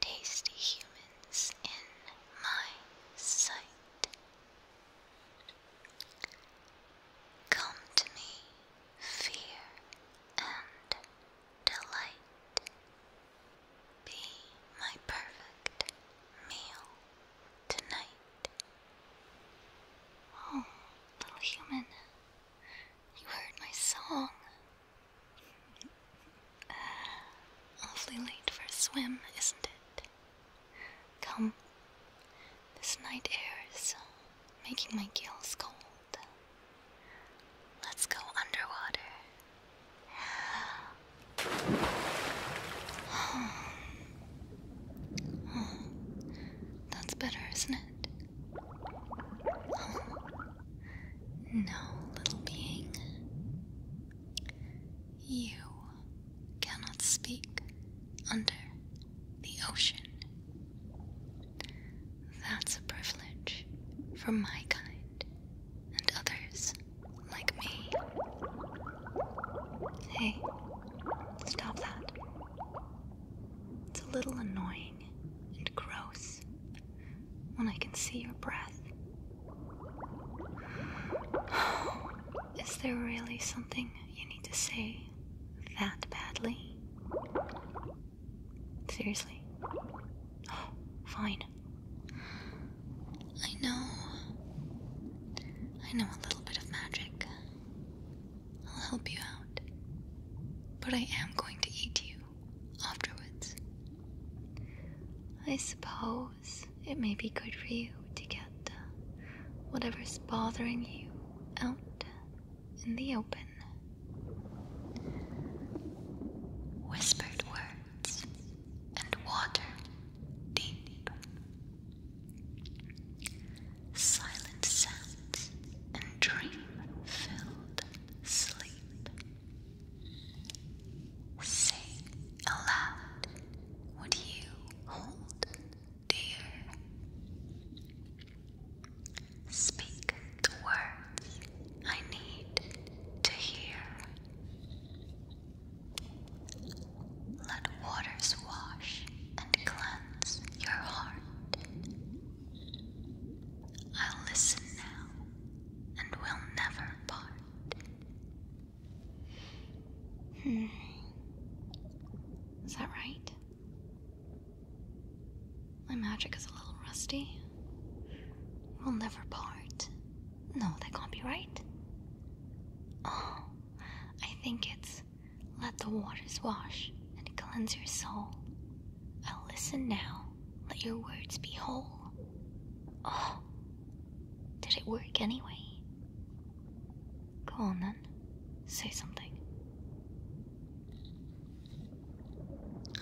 tasty humans in my sight. Come to me, fear and delight. Be my perfect meal tonight. Oh, little human, you heard my song. Uh, awfully late for a swim, isn't it? Come, this night air is uh, making my gills cold. Let's go underwater. that's better, isn't it? No, little being. You cannot speak under the ocean. That's a privilege for my kind and others like me. Hey, stop that. It's a little annoying and gross when I can see your breath. Is there really something you need to say that badly? Seriously? fine. I know. I know a little bit of magic. I'll help you out. But I am going to eat you afterwards. I suppose it may be good for you to get whatever's bothering you out in the open. Whispered words and water deep. Silent sounds and dream filled sleep. Say aloud what you hold dear. Speak the words I need to hear. Let waters wash and cleanse your heart. I'll listen now and will never part. Hmm. Is that right? My magic is a little rusty. We'll never part. No, that can't be right. Oh, I think it's let the waters wash and cleanse your soul. I'll listen now. Let your words be whole. Oh, did it work anyway? Go on then, say something.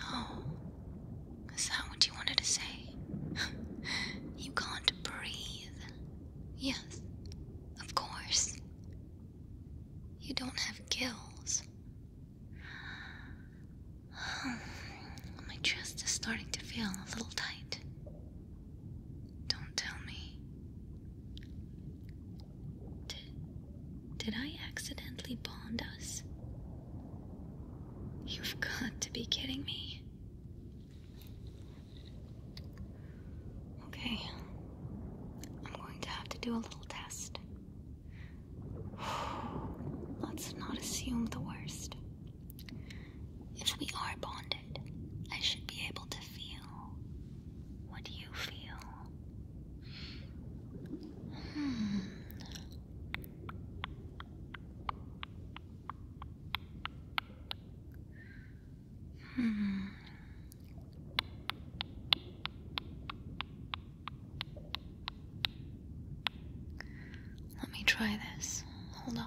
Oh, is that what you wanted to say? you can't breathe. Yes, of course. You don't have gills. My chest is starting to feel a little tight. Don't tell me. D did I accidentally bond us? You've got to be kidding me. Okay, I'm going to have to do a little test. Let's not assume the worst. If we are bonded, I should be able to feel what you feel. Hmm. Hmm. Let me try this. Hold on.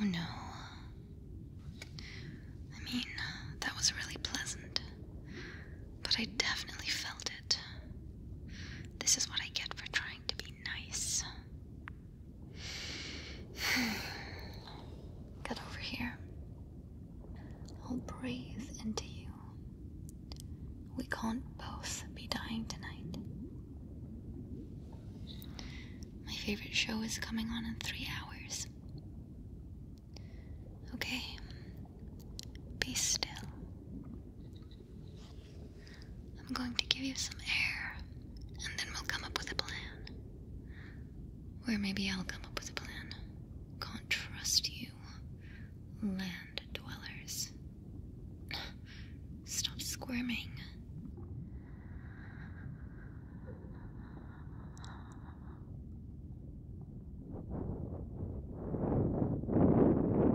Oh no. I mean, that was really pleasant, but I definitely felt it. This is what I get for trying to be nice. Get over here. I'll breathe into you. We can't both be dying tonight. My favorite show is coming on in three hours. Okay, be still. I'm going to give you some air, and then we'll come up with a plan. Or maybe I'll come up with a plan. Can't trust you, land dwellers. Stop squirming.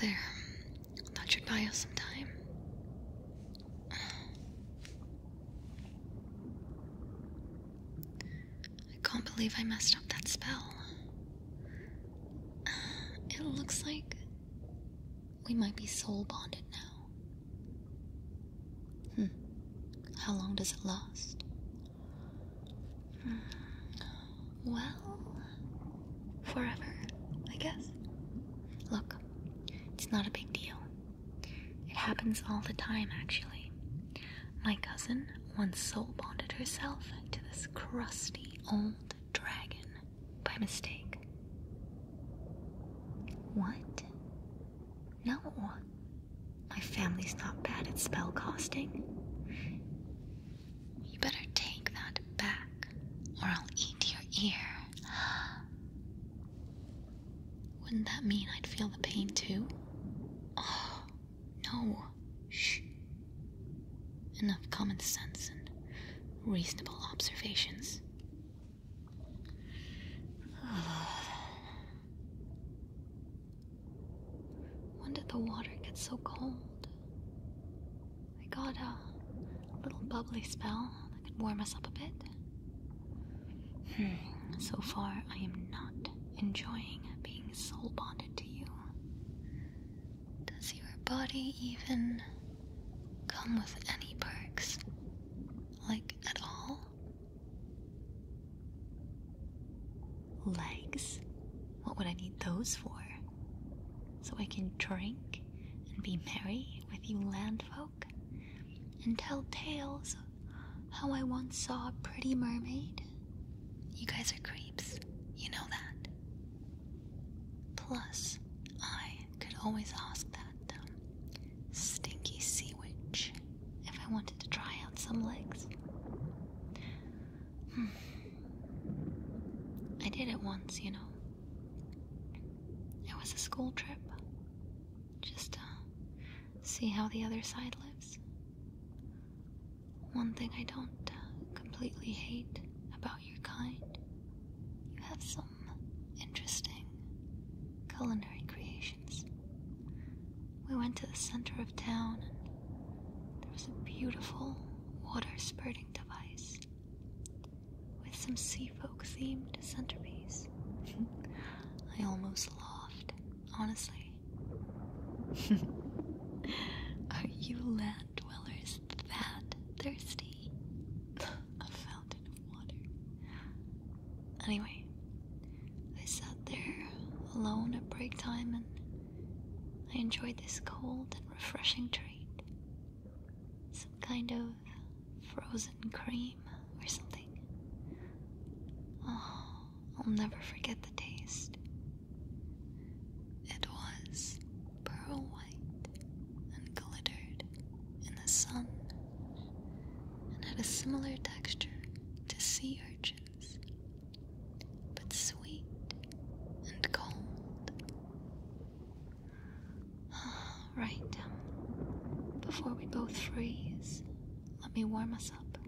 There. That should buy us some time. I can't believe I messed up that spell. it looks like we might be soul bonded now. Hmm. How long does it last? Hmm. Well, forever, I guess. Look, it's not a big deal. It happens all the time, actually. My cousin once soul bonded herself to this crusty old dragon by mistake. What? No. My family's not bad at spell casting. You better take that back, or I'll eat your ear. Wouldn't that mean I'd feel the pain too? Oh, no. Shh. Enough common sense and reasonable observations. when did the water get so cold? I got a little bubbly spell that could warm us up a bit. Hmm, so far, I am not enjoying being soul bonded to you. Does your body even come with any perks? Like, at all? Legs? What would I need those for? So I can drink and be merry with you land folk? and tell tales of how I once saw a pretty mermaid. You guys are creeps, you know that. Plus, I could always ask that um, stinky sea witch if I wanted to try out some legs. Hmm. I did it once, you know. It was a school trip. Just uh, see how the other side lives. One thing I don't uh, completely hate about your kind, you have some interesting culinary creations. We went to the center of town and there was a beautiful water spurting device with some sea folk themed centerpiece. I almost laughed. Honestly, Are you land dwellers that thirsty? A fountain of water. Anyway, I sat there alone at break time and I enjoyed this cold and refreshing treat. Some kind of frozen cream or something. Oh, I'll never forget the taste. It was pearl white and glittered in the sun and had a similar texture to sea urchins, but sweet and cold. Ah, right, before we both freeze let me warm us up.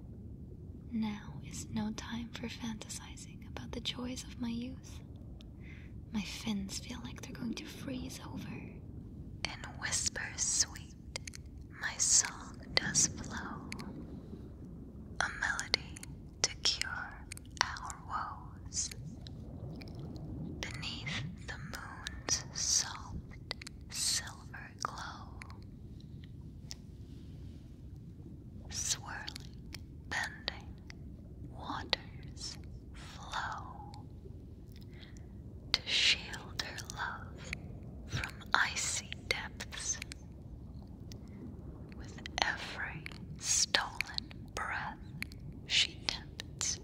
Now is no time for fantasizing about the joys of my youth. My fins feel like they're going to freeze over. And whispers sweet, my song does flow. A melody to cure our woes. Beneath the moon's soft silver glow, swirling, bending waters flow to shield her love from icy depths. With every stolen breath, she tempts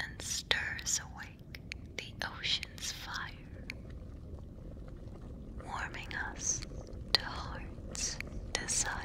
and stirs awake the ocean's fire, warming us to heart's desire.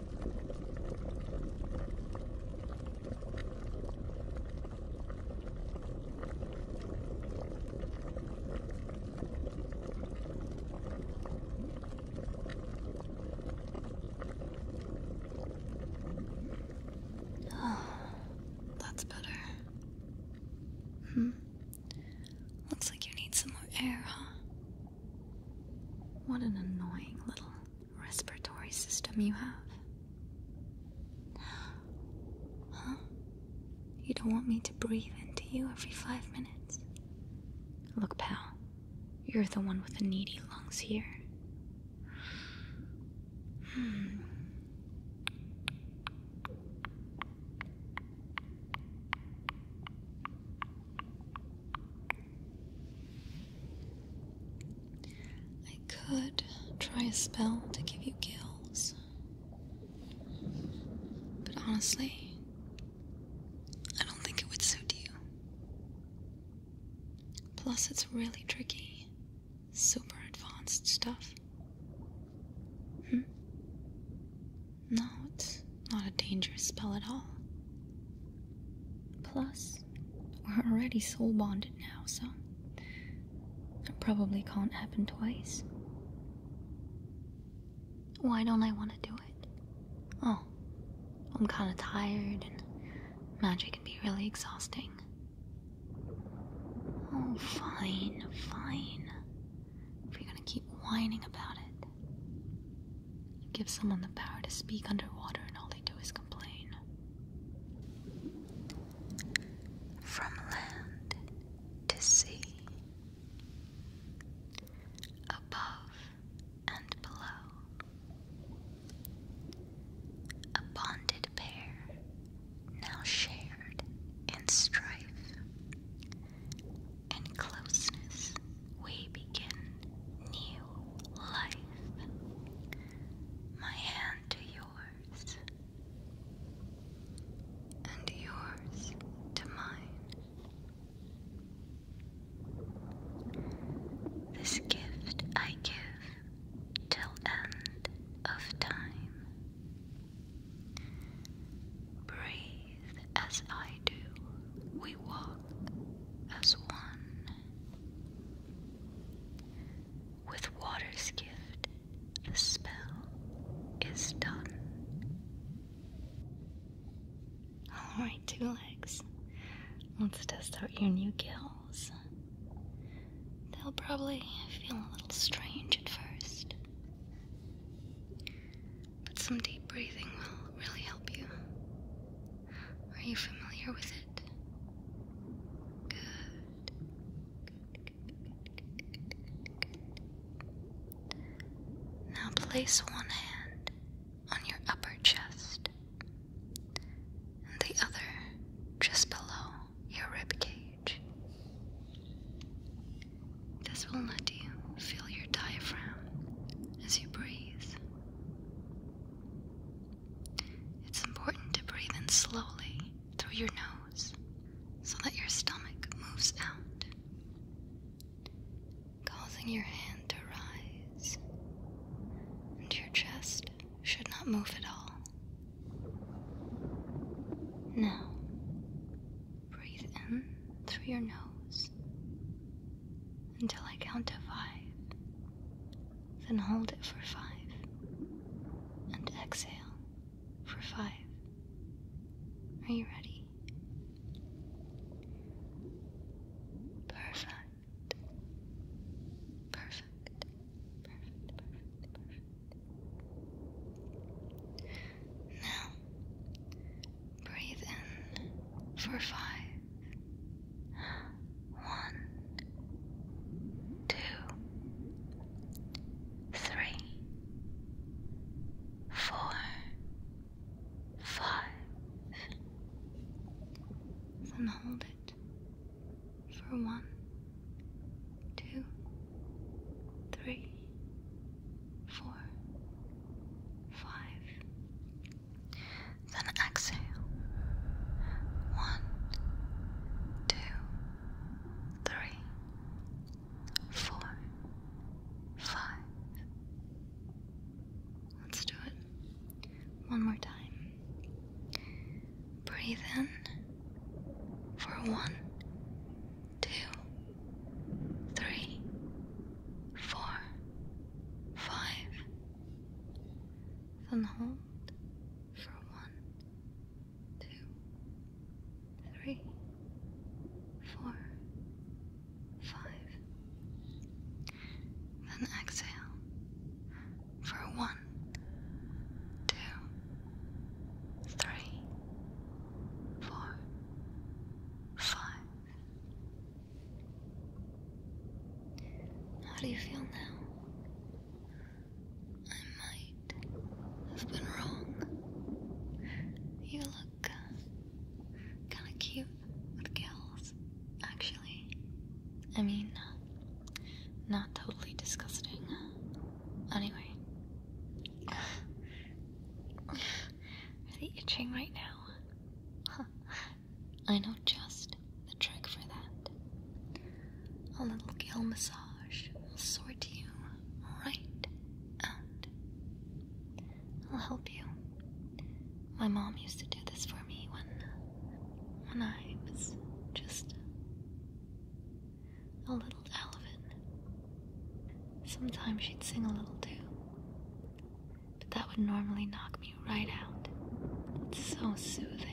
Oh, that's better. Hmm. Looks like you need some more air, huh? What an annoying little respiratory system you have. Huh? You don't want me to breathe into you every five minutes? Look, pal, you're the one with the needy lungs here. Hmm. I could try a spell to give you gills. But honestly, I don't think it would suit you. Plus, it's really tricky. Super advanced stuff. Hmm? No, not a dangerous spell at all. Plus, we're already soul bonded now, so it probably can't happen twice. Why don't I want to do it? Oh, I'm kinda tired, and magic can be really exhausting. Oh, fine, fine. If you're gonna keep whining about it give someone the power to speak underwater, and all they do is complain. From land to sea, above and below, a bonded pair now shared in strife and closeness we begin new life. My hand to yours, and yours to mine. This gift I give till end of time. Breathe as I we walk as one. With water's gift, the spell is done. Alright, two legs. Let's test out your new gills. They'll probably feel a little strange at first, but some deep breathing will really help you. Are you familiar with it? Good. Now place one hand on your upper chest and the other just below your rib cage. This will let you feel your diaphragm as you breathe. It's important to breathe in slowly through your nose so that your stomach moves out, causing your hand to rise, and your chest should not move at all. Now, breathe in through your nose until I count to five, then hold it for five and exhale for five. Are you ready? Perfect. Perfect. Perfect. Perfect. Perfect. Now, Breathe in for five. One, two, three, four, five. Then hold it for one, two, three, four, five. Then exhale. One, two, three, four, five. Let's do it one more time. Breathe in for one, two, three, four, five. Then hold for one, two, three, four, five. Then exhale for one, two, three, four, five. How do you feel now? I might have been wrong. You look uh, kind of cute with gals, actually. I mean, uh, not totally disgusting. Uh, anyway, are they itching right now? I know just the trick for that. A little gill massage will sort you right out. I'll help you. My mom used to do this for me when, when I was just a little elephant. Sometimes she'd sing a little too, but that would normally knock me right out. It's so soothing.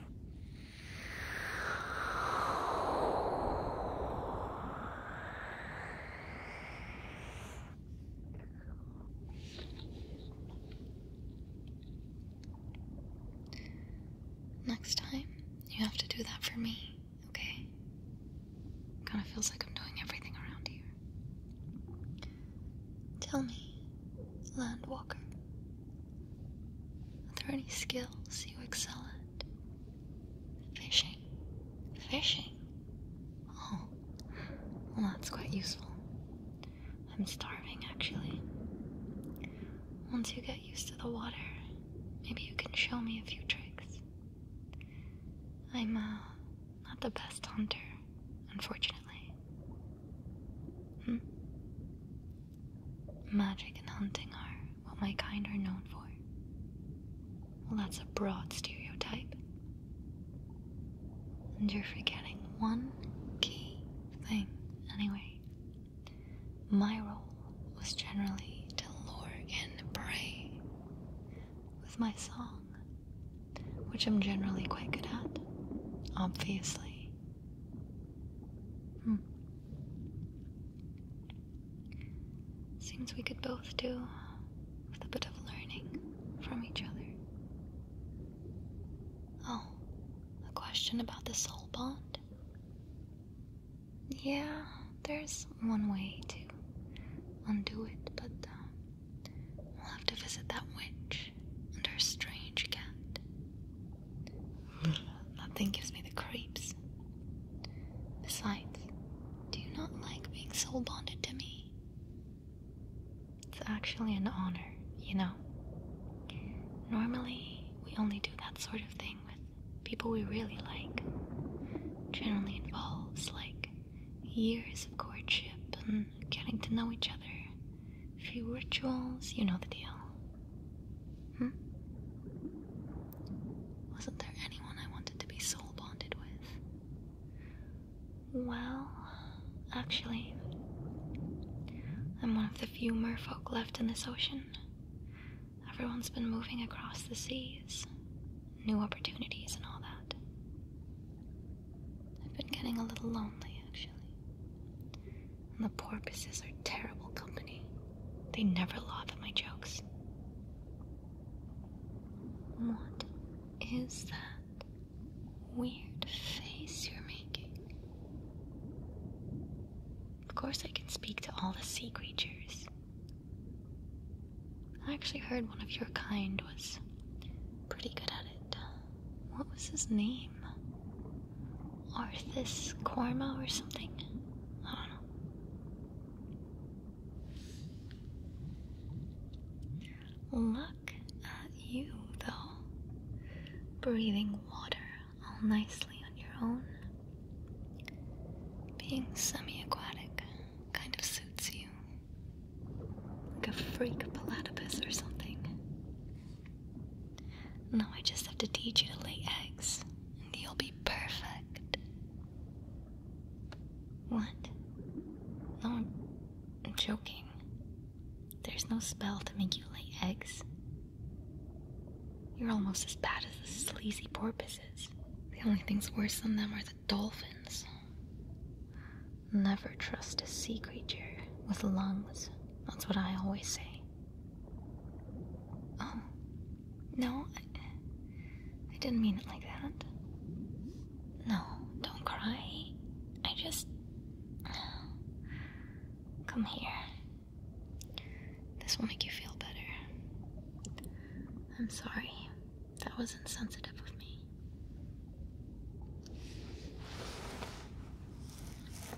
Next time, you have to do that for me, okay? Kinda feels like I'm doing everything around here. Tell me, Land Walker. Are there any skills you excel at? Fishing. Fishing? Oh, well, that's quite useful. I'm starving, actually. Once you get used to the water, maybe you can show me a few tricks. I'm, uh, not the best hunter, unfortunately. Hmm? Magic and hunting are what my kind are known for. Well, that's a broad stereotype. And you're forgetting one key thing, anyway. My role was generally to lure in prey with my song, which I'm generally quite good at, obviously. Hmm. Seems we could both do with a bit of learning from each other. Oh, a question about the soul bond? Yeah, there's one way to undo it, but um, we'll have to visit that witch and her strange cat. Hmm. thing gives me the creeps. Besides, do you not like being soul bonded to me? It's actually an honor, you know. Normally, we only do that sort of thing with people we really like. Generally involves, like, years of courtship and getting to know each other few rituals, you know the deal. Hmm? Wasn't there anyone I wanted to be soul bonded with? Well, actually, I'm one of the few merfolk left in this ocean. Everyone's been moving across the seas, new opportunities and all that. I've been getting a little lonely, actually and the porpoises are terrible company. They never laugh at my jokes. What is that weird face you're making? Of course, I can speak to all the sea creatures. I actually heard one of your kind was pretty good at it what was his name? Arthas Korma or something? I don't know. Look at you, though. Breathing water all nicely on your own. Being semi aquatic kind of suits you. Like a freak platypus or something. Now I just have to teach you to lay eggs, and you'll be perfect. What? No, I'm joking. There's no spell to make you lay eggs. You're almost as bad as the sleazy porpoises. The only things worse than them are the dolphins. Never trust a sea creature with lungs. That's what I always say. Um, no, I, I didn't mean it like that. No, don't cry. I just. Come here. This will make you feel better. I'm sorry. That was insensitive of me.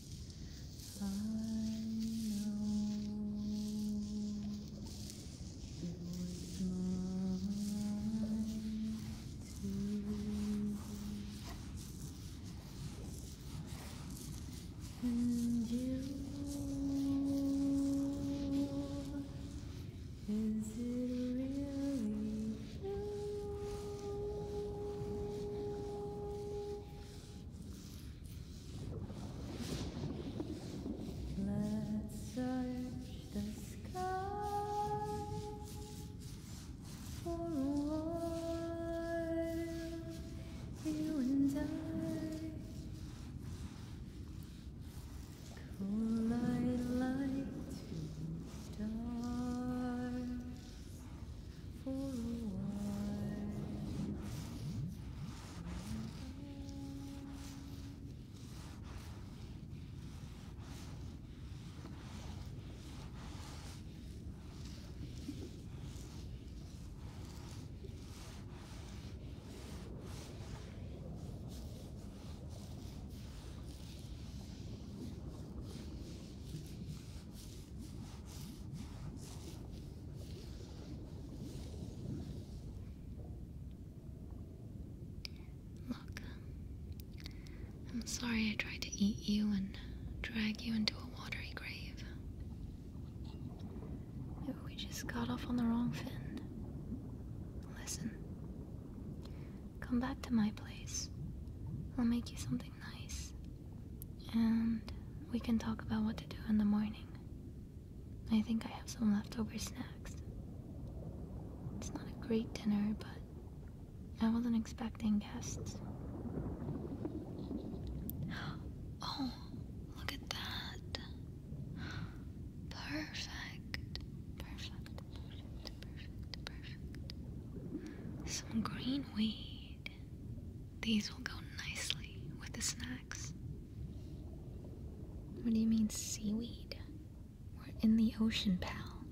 I know it was alright and you is it really Let's search the sky for a while, you and I. Could I light stars? for a while. Look, I'm sorry I tried to eat you and drag you into a watery grave. Maybe we just got off on the wrong fin. Listen, come back to my place. I'll make you something nice. And we can talk about what to do in the morning. I think I have some leftover snacks. It's not a great dinner, but I wasn't expecting guests. Oh, look at that. Perfect, perfect, perfect, perfect. Some green weed. These will go nicely with the snacks. What do you mean, seaweed? We're in the ocean, pal.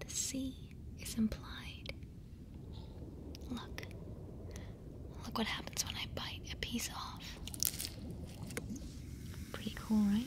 The sea is implied. Look. Look what happens when I bite a piece off. Pretty cool, right?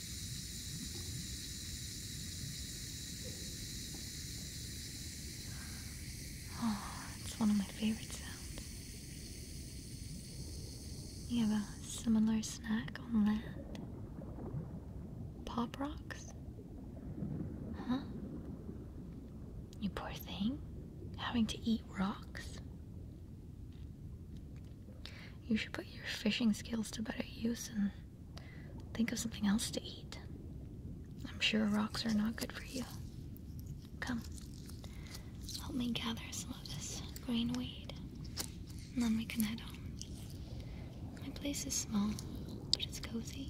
Oh, it's one of my favorite sounds. You have a similar snack on land? Pop rocks? Huh? You poor thing, having to eat rocks? You should put your fishing skills to better use and think of something else to eat. I'm sure rocks are not good for you. Come, help me gather some of this green weed, and then we can head home. My place is small, but it's cozy.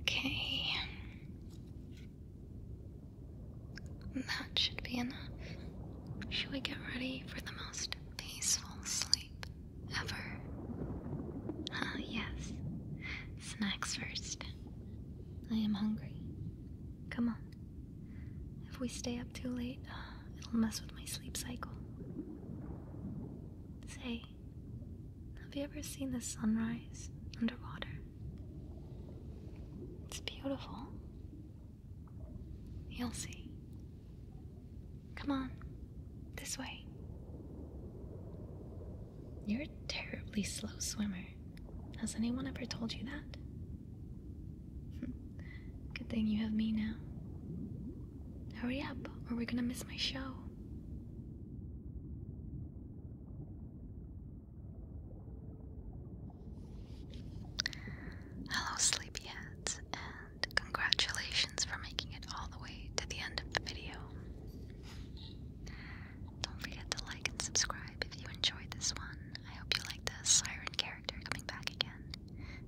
Okay. That should be enough. Should we get ready for the most peaceful sleep? ever. yes. Snacks first. I am hungry. Come on. If we stay up too late, uh, it'll mess with my sleep cycle. Say, have you ever seen the sunrise underwater? It's beautiful. You'll see. Come on. This way. You're a terribly slow swimmer. Has anyone ever told you that? Good thing you have me now. Hurry up, or we're gonna miss my show. Hello, sleepyheads, and congratulations for making it all the way to the end of the video. Don't forget to like and subscribe if you enjoyed this one. I hope you like the siren character coming back again.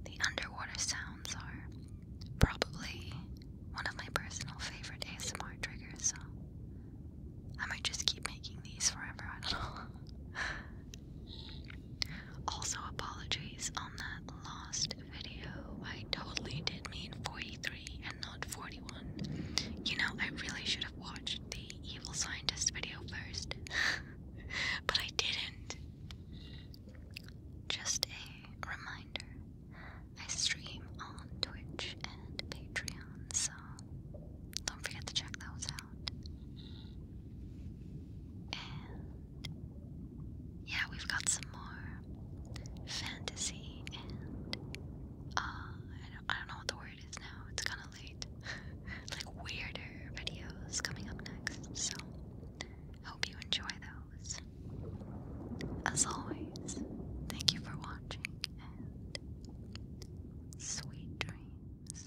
The underwater sounds are probably one of my personal favorite ASMR triggers, so I might just keep making these forever. I don't know. also, apologies on that lost video, I totally did mean 43 and not 41. You know, I really should have watched the evil scientist video first, but I didn't. Just a reminder I stream on Twitch and Patreon, so don't forget to check those out. And yeah, we've got some more fantasy and uh, I don't, I don't know what the word is now. It's kind of late. like weirder videos coming up next. So hope you enjoy those. As always, thank you for watching and sweet dreams.